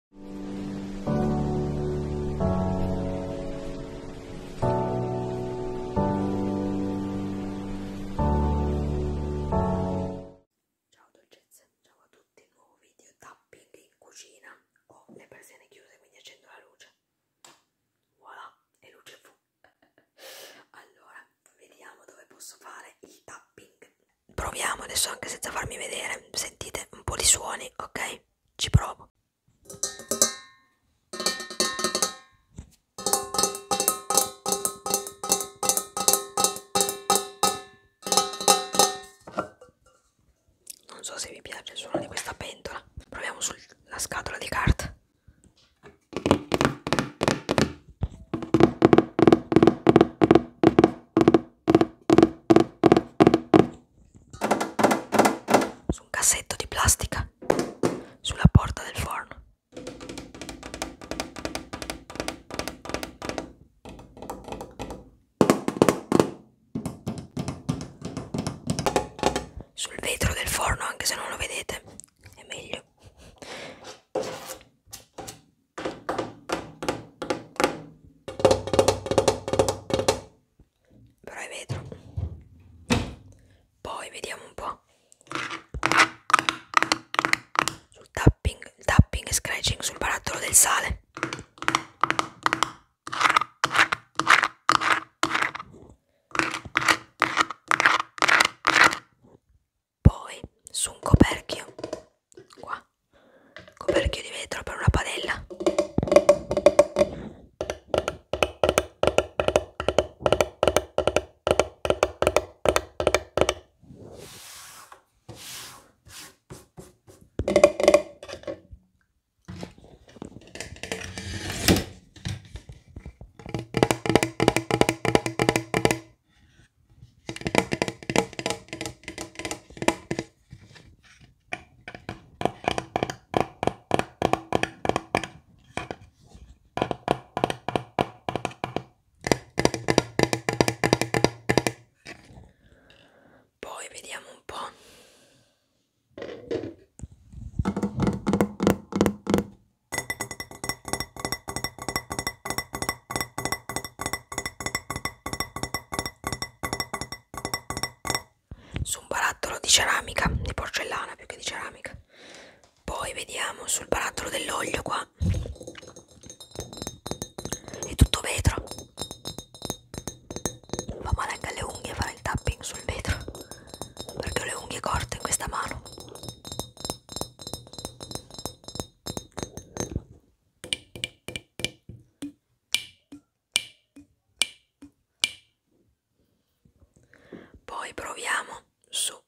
Ciao dolcezze, ciao a tutti, nuovo video tapping in cucina. Ho le persiane chiuse quindi accendo la luce. Voilà, e luce fu. allora, vediamo dove posso fare il tapping proviamo adesso anche senza farmi vedere sentite un po' di suoni ok ci provo non so se vi piace il suono di questa pentola proviamo sulla scatola di carta su un cassetto di plastica sulla porta del forno. Sul vetro del forno, anche se non lo vedete, è meglio però è vetro poi vediamo un po' sul tapping il tapping e scratching sul barattolo del sale poi su un coperchio qua coperchio di vetro per una padella poi vediamo un po' su un barattolo di ceramica, di porcellana più che di ceramica. Poi vediamo sul barattolo dell'olio qua. È tutto vetro. Fa male anche alle unghie fare il tapping sul vetro. Perché ho le unghie corte in questa mano. Poi proviamo su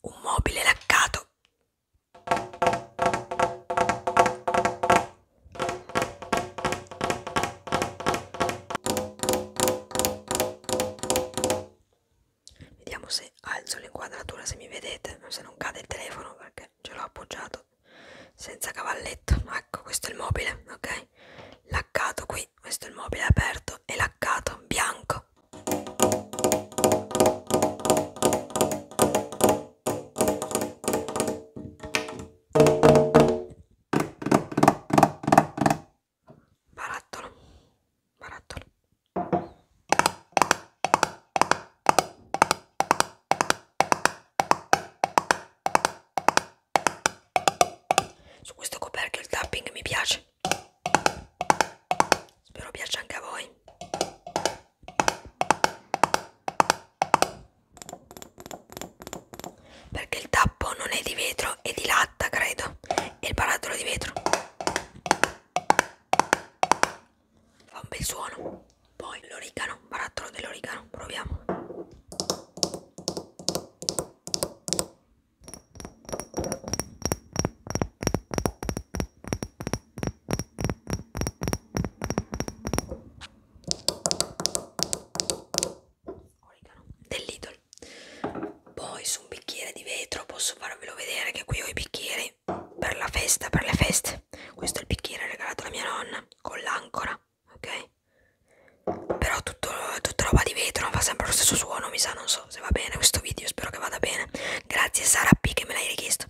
un mobile laccato vediamo se alzo l'inquadratura se mi vedete se non cade il telefono perché ce l'ho appoggiato senza cavalletto ecco questo è il mobile ok laccato qui questo è il mobile aperto e laccato bianco barattolo barattolo su questo coperchio il tapping mi piace. Spero piaccia anche a voi. Perché il tappo non è di vetro, è di latta, credo. È il barattolo di vetro fa un bel suono poi l'origano barattolo dell'origano proviamo origano dell'idol poi su un bicchiere di vetro posso farvelo vedere che qui ho i bicchieri per la festa, per le feste. Questo è il bicchiere regalato da mia nonna con l'ancora, ok? Però tutto, tutta roba di vetro, fa sempre lo stesso suono, mi sa, non so se va bene questo video, spero che vada bene. Grazie Sara P che me l'hai richiesto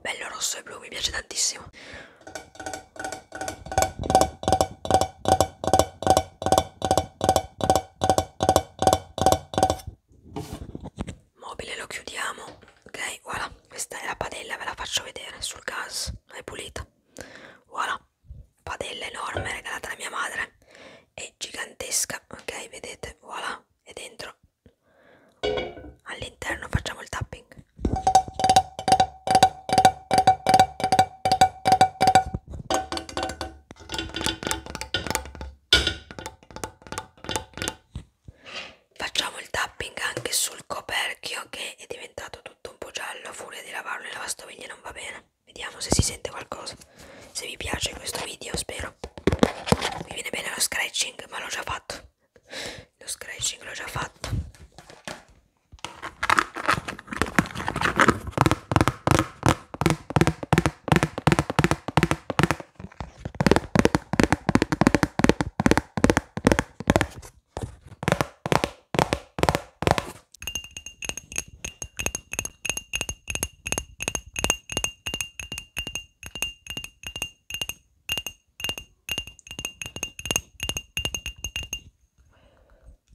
bello rosso e blu mi piace tantissimo mobile lo chiudiamo ok voilà questa è la padella ve la faccio vedere sul gas è pulita voilà padella enorme regalata da mia madre è gigantesca ok vedete voilà è dentro all'interno facciamo il tapping facciamo il tapping anche sul coperchio che è diventato tutto un po' giallo a furia di lavarlo in lavastoviglie non va bene Vediamo se si sente qualcosa. Se vi piace questo video, spero. Mi viene bene lo scratching, ma l'ho già fatto. Lo scratching l'ho già fatto.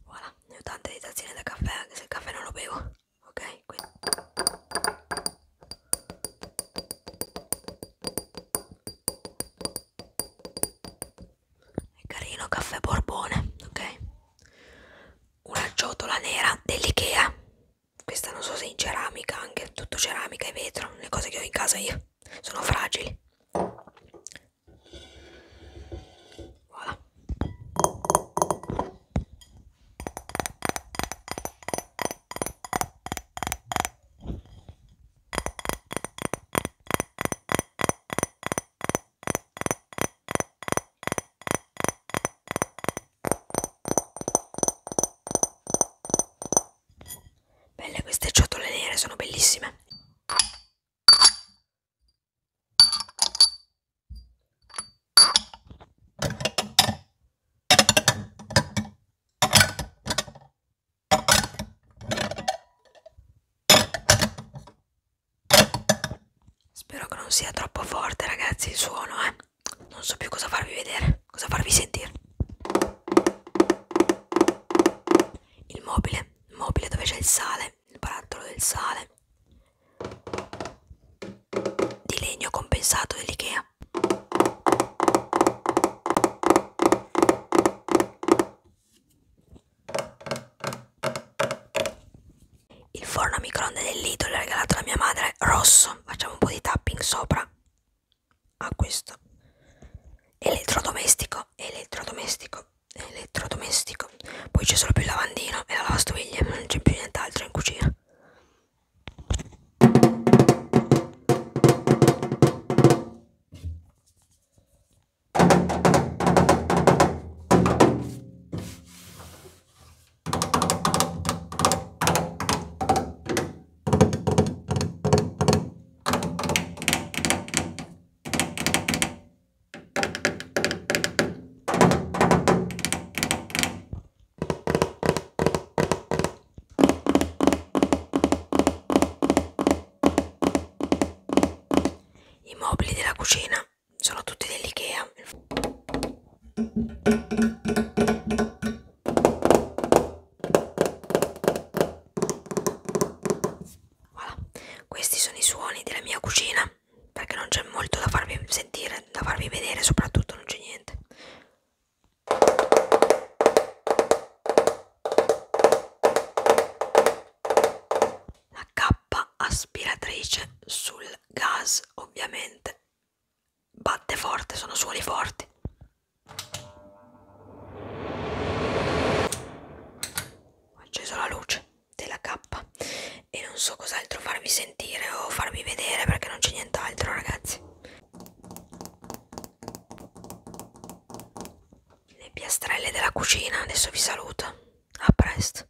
Voilà, ne ho tante di tazzine da caffè anche se il caffè non lo bevo, ok? Quindi. È carino caffè borbone, ok? una ciotola nera dell'Ikea questa non so se in ceramica anche tutto ceramica e vetro le cose che ho in casa io sono fragili voilà. Belle queste ciotole nere, sono bellissime. Spero che non sia troppo forte, ragazzi, il suono, eh. Non so più cosa farvi vedere, cosa farvi sentire. Il mobile, il mobile dove c'è il sale, il barattolo del sale. Di legno compensato dell'IKEA. Il forno a microonde dell'Ido l'ha regalato a mia madre, rosso. Facciamo un po' di tapping sopra a questo. Elettrodomestico, elettrodomestico, elettrodomestico. Poi c'è solo più il lavandino e la lavastoviglie, non c'è più nient'altro in cucina. I mobili della cucina sono tutti dell'Ikea voilà. questi sono i suoni della mia cucina perché non c'è molto da farvi sentire da farvi vedere soprattutto non c'è niente la cappa aspiratrice sul gas Williams ovviamente batte forte, sono suoni forti. Ho acceso la luce della K e non so cos'altro farvi sentire o farvi vedere perché non c'è nient'altro ragazzi. Le piastrelle della cucina, adesso vi saluto. A presto.